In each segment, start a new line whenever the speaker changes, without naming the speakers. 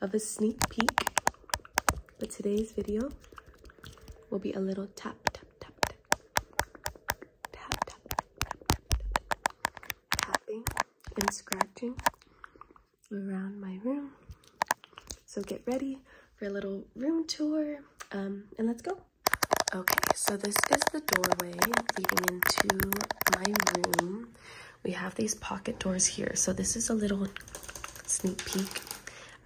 of a sneak peek. But today's video will be a little tap, tap, tap, tap, tap, tap, tap, tapping and scratching around my room. So get ready for a little room tour and let's go. Okay, so this is the doorway leading into my room. We have these pocket doors here. So this is a little sneak peek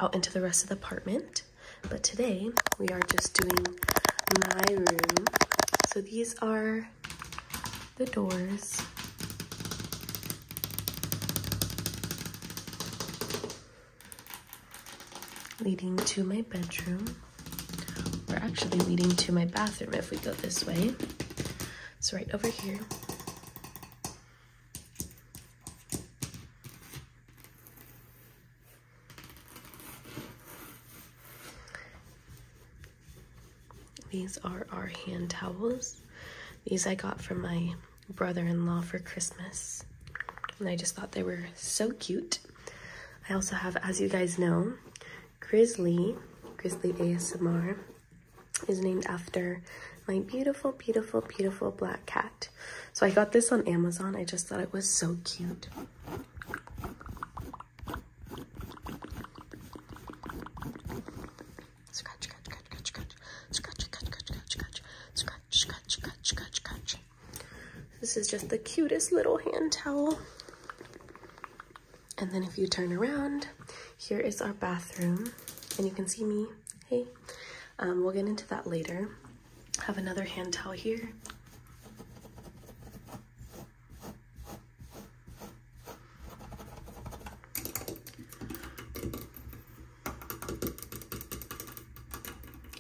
out into the rest of the apartment. But today we are just doing my room. So these are the doors. leading to my bedroom We're actually leading to my bathroom if we go this way. So right over here. These are our hand towels. These I got from my brother-in-law for Christmas. And I just thought they were so cute. I also have, as you guys know, Grizzly, Grizzly ASMR is named after my beautiful, beautiful, beautiful black cat. So I got this on Amazon. I just thought it was so cute. This is just the cutest little hand towel. And then if you turn around, here is our bathroom, and you can see me. Hey, um, we'll get into that later. Have another hand towel here.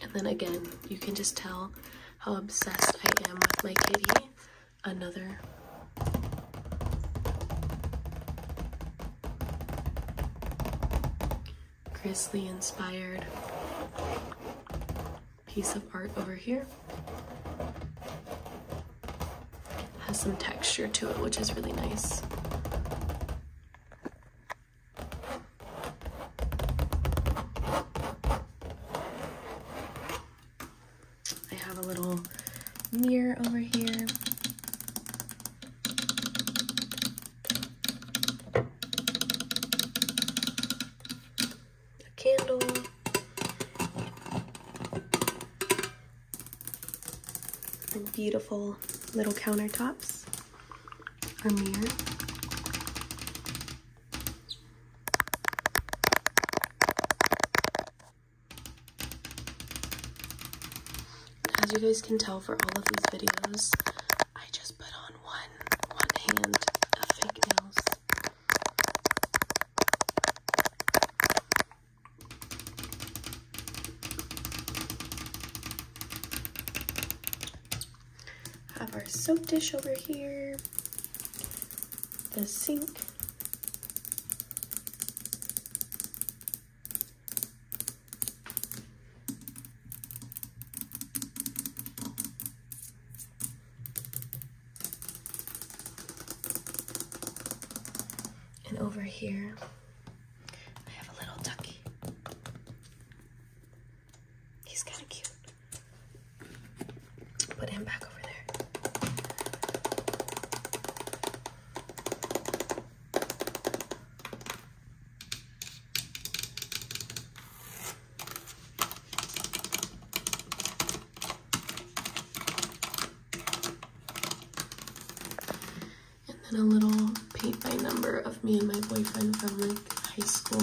And then again, you can just tell how obsessed I am with my kitty. Another Grizzly inspired piece of art over here. Has some texture to it, which is really nice. I have a little mirror over here. A candle. And beautiful little countertops. A mirror. As you guys can tell for all of these videos, I just put on one one hand of fake nails. Have our soap dish over here, the sink, and over here, I have a little ducky. He's kind of cute. Put him back over there. And then a little paint by number of me and my boyfriend from like high school.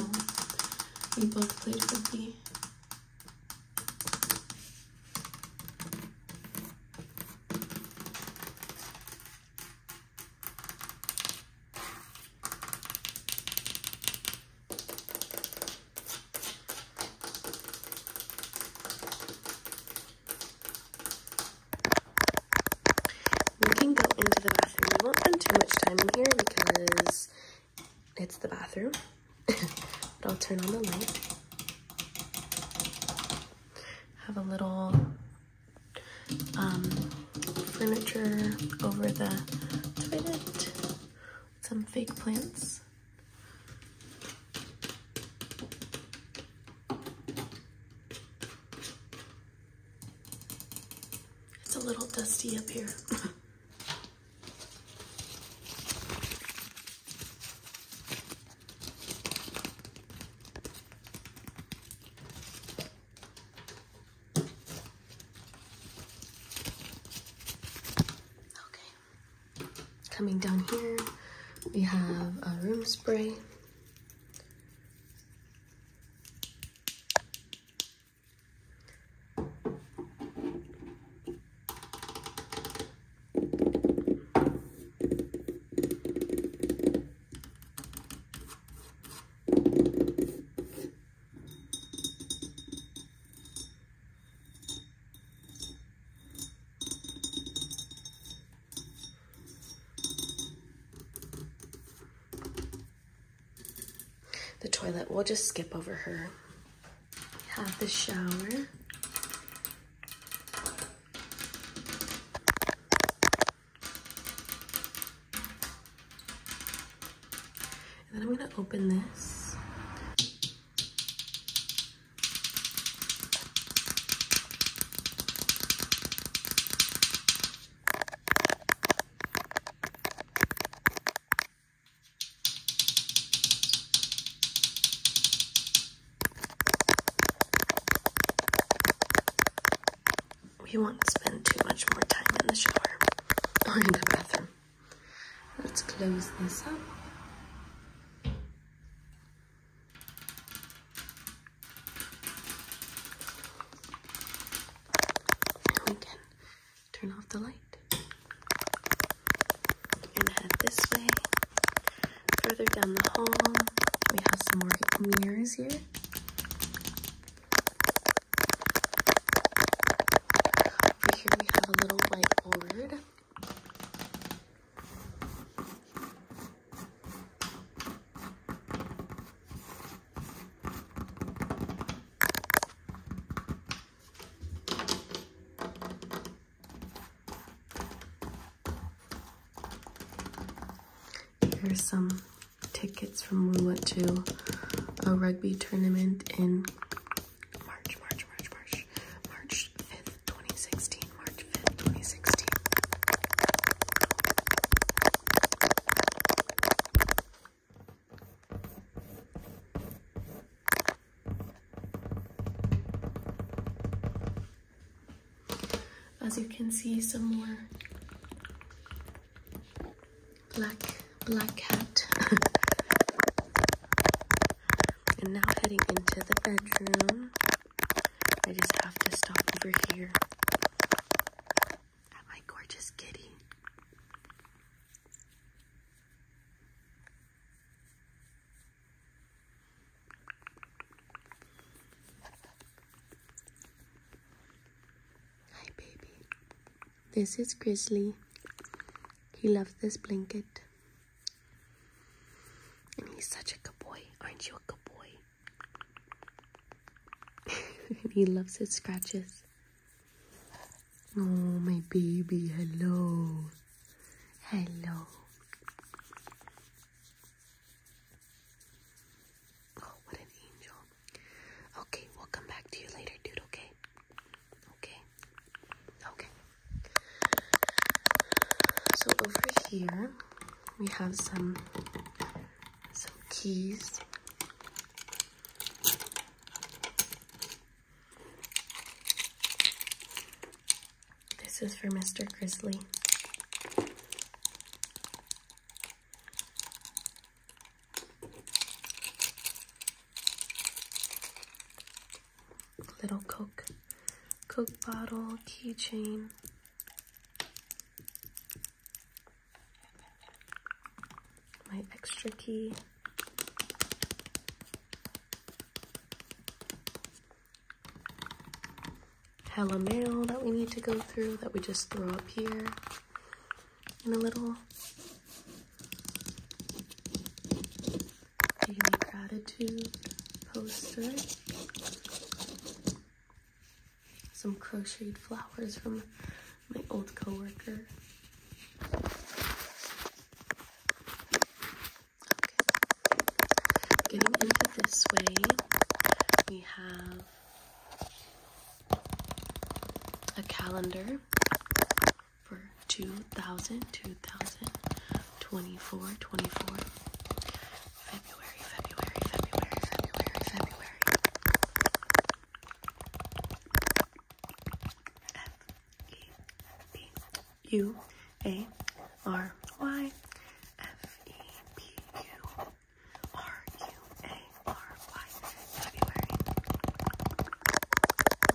We both played football. We can go into the bathroom. We won't spend too much time in here because it's the bathroom. I'll turn on the light. Have a little um, furniture over the toilet. Some fake plants. It's a little dusty up here. Okay, coming down here, we have a room spray. The toilet, we'll just skip over her have the shower. And then I'm gonna open this. We won't spend too much more time in the shower or in the bathroom. Let's close this up. And we can turn off the light. you head this way. Further down the hall, we have some more mirrors here. Over here we have a little whiteboard. Here's some tickets from Lula to a rugby tournament in March, March, March, March, March 5th, 2016, March 5th, 2016. As you can see, some more black, black cat. and now heading into the bedroom. I just have to stop over here at my gorgeous kitty. Hi, baby. This is Grizzly. He loves this blanket. And he's such a good boy. Aren't you a good boy? he loves his scratches. Oh, my baby, hello. Hello. Oh, what an angel. Okay, we'll come back to you later, dude, okay? Okay. Okay. So over here, we have some some keys. This is for Mr. Grizzly. Little Coke, Coke bottle, keychain. My extra key. Hello, mail that we need to go through that we just throw up here in a little. gratitude poster. Some crocheted flowers from my old coworker. Getting into this way, we have a calendar for 2000, 2000, 24, February, February, February, February, February. F E B U A R Y F E B U R U A R Y February.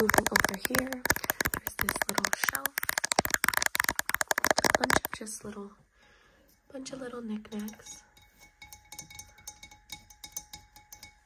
Moving over here, there's this little shelf. bunch of just little bunch of little knickknacks.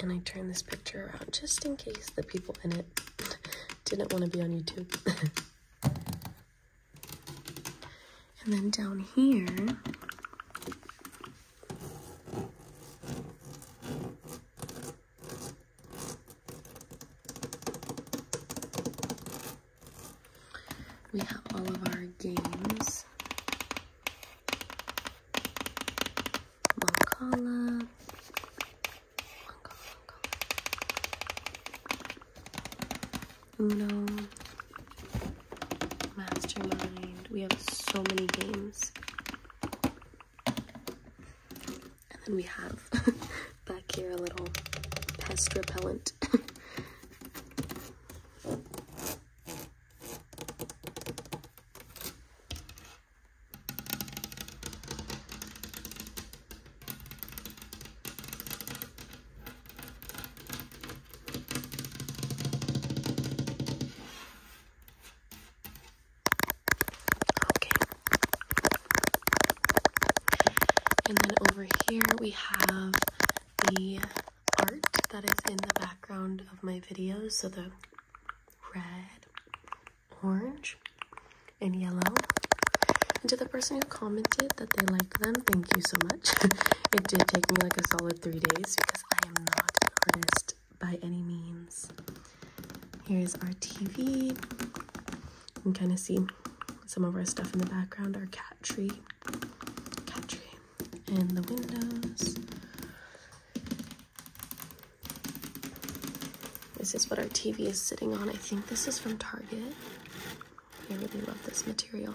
And I turned this picture around just in case the people in it didn't want to be on YouTube. And then down here, we have all of our games. Mokala, Uno, Mastermind. We have so many games. And then we have back here a little pest repellent. Okay. And then over here we have the art that is in the background of my videos. So the red orange and yellow. And to the person who commented that they like them, thank you so much. it did take me like a solid three days because I am not an artist by any means. Here's our TV. You can kind of see some of our stuff in the background, our cat tree, cat tree, and the windows. This is what our TV is sitting on. I think this is from Target. I really love this material.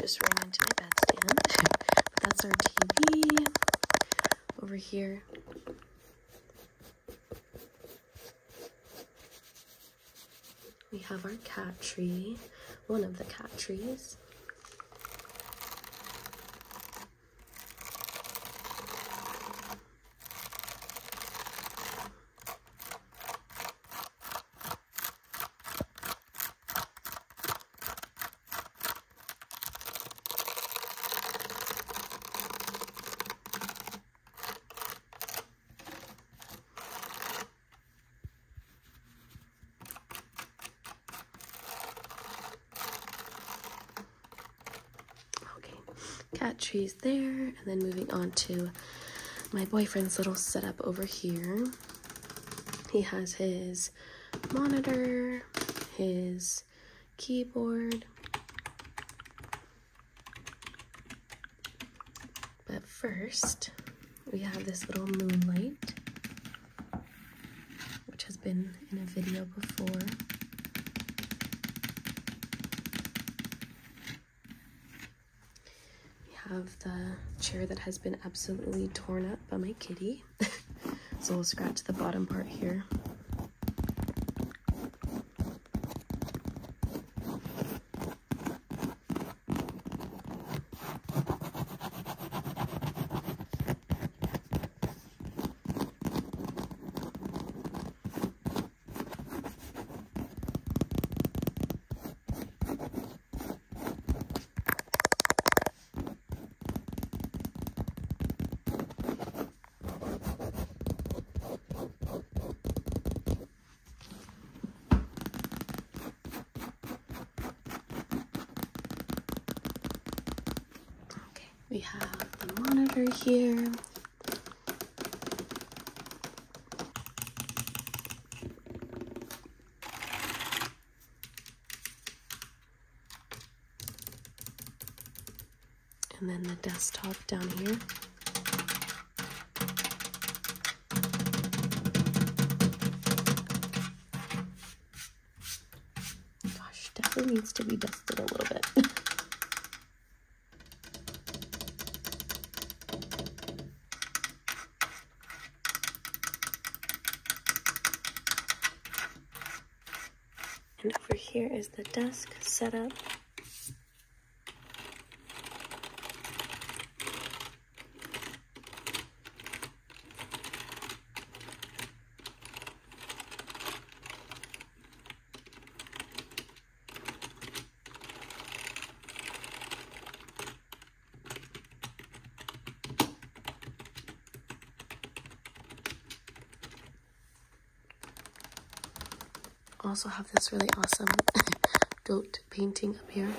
Just ran into my bedstand. but that's our TV over here. We have our cat tree, one of the cat trees. Okay, cat trees there, and then moving on to my boyfriend's little setup over here. He has his monitor, his keyboard. But first, we have this little moonlight, which has been in a video before. We have the chair that has been absolutely torn up by my kitty. so we'll scratch the bottom part here. Okay, we have the monitor here. And then the desktop down here. Gosh, definitely needs to be dusted a little bit. And over here is the desk setup also have this really awesome dote painting up here.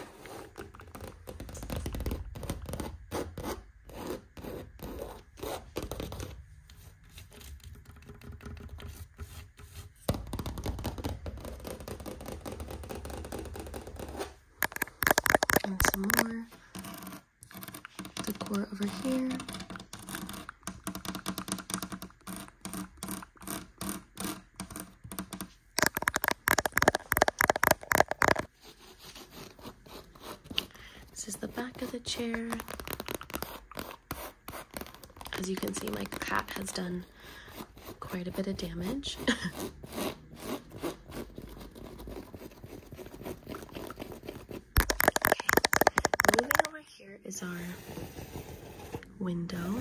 And some more decor over here. This is the back of the chair. As you can see, my cat has done quite a bit of damage. moving over here is our window.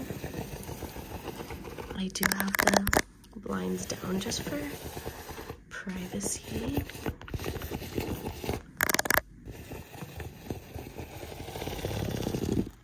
I do have the blinds down just for privacy.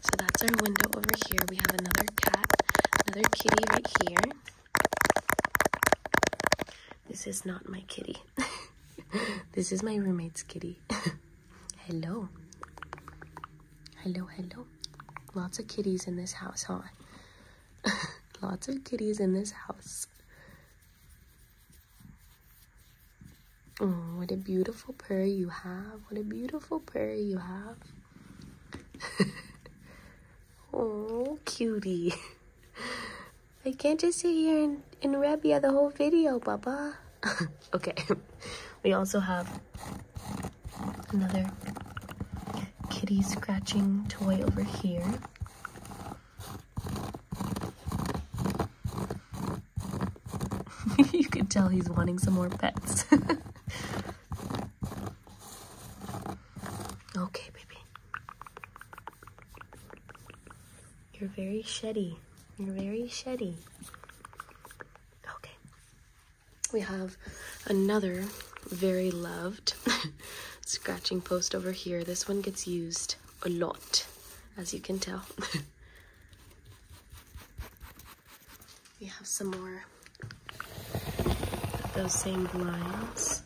So that's our window over here. We have another cat, another kitty right here. This is not my kitty. this is my roommate's kitty. hello. Hello, hello. Lots of kitties in this house, huh? Lots of kitties in this house. Oh, what a beautiful purr you have. What a beautiful purr you have. oh, cutie. I can't just sit here and, and Rebia the whole video, Baba. okay. We also have another kitty scratching toy over here. you can tell he's wanting some more pets. Okay, baby. You're very sheddy. You're very sheddy. Okay. We have another very loved scratching post over here. This one gets used a lot, as you can tell. We have some more those same blinds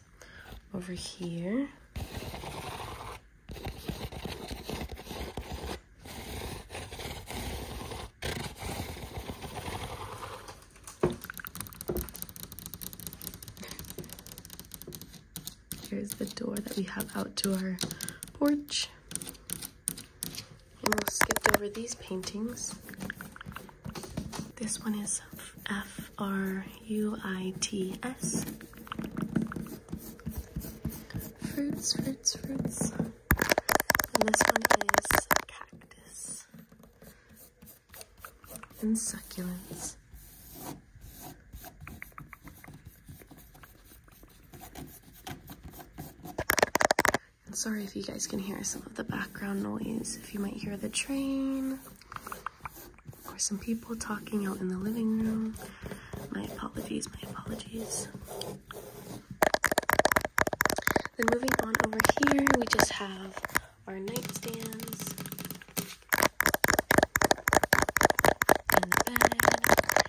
over here. Here's the door that we have out to our porch. And we'll skip over these paintings. This one is F-R-U-I-T-S. Fruits, fruits, fruits. And this one is cactus. And succulents. And sorry if you guys can hear some of the background noise, if you might hear the train or some people talking out in the living room. My apologies, my apologies. Then moving on over here, we just have our nightstands and bed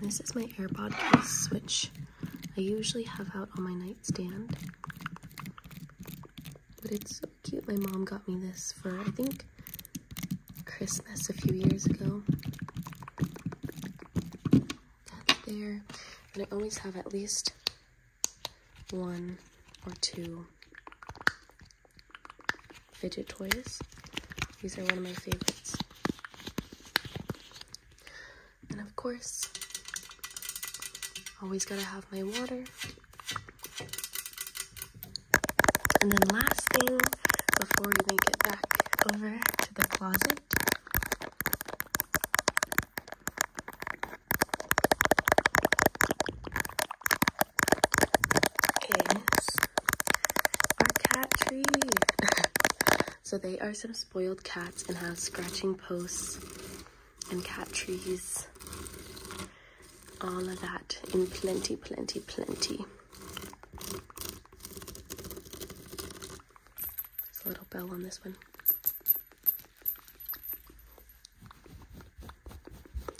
this is my AirPod case, which I usually have out on my nightstand. But it's so cute. My mom got me this for, I think, Christmas a few years ago that there. And I always have at least one or two fidget toys. These are one of my favorites. And of course, always gotta have my water. And then last thing, before we make it back over to the closet, is our cat tree. so they are some spoiled cats and have scratching posts and cat trees. All of that in plenty, plenty, plenty. There's a little bell on this one.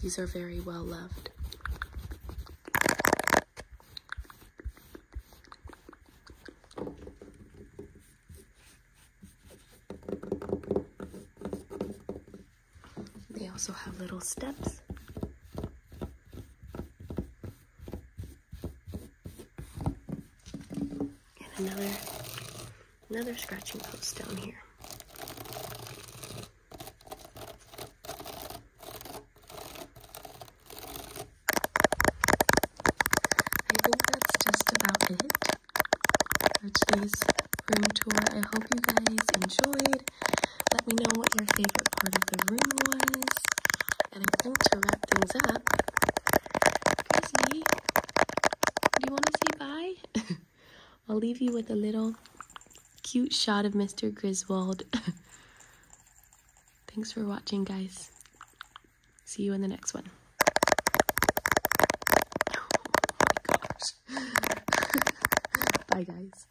These are very well loved. They also have little steps and another another scratching post down here. I think that's just about it for today's room tour. I hope you guys enjoyed. Let me know what your favorite part of the room was. And I think to wrap things up, Chrissy, do you want to say bye? I'll leave you with a little cute shot of Mr. Griswold. Thanks for watching, guys. See you in the next one. Bye, guys.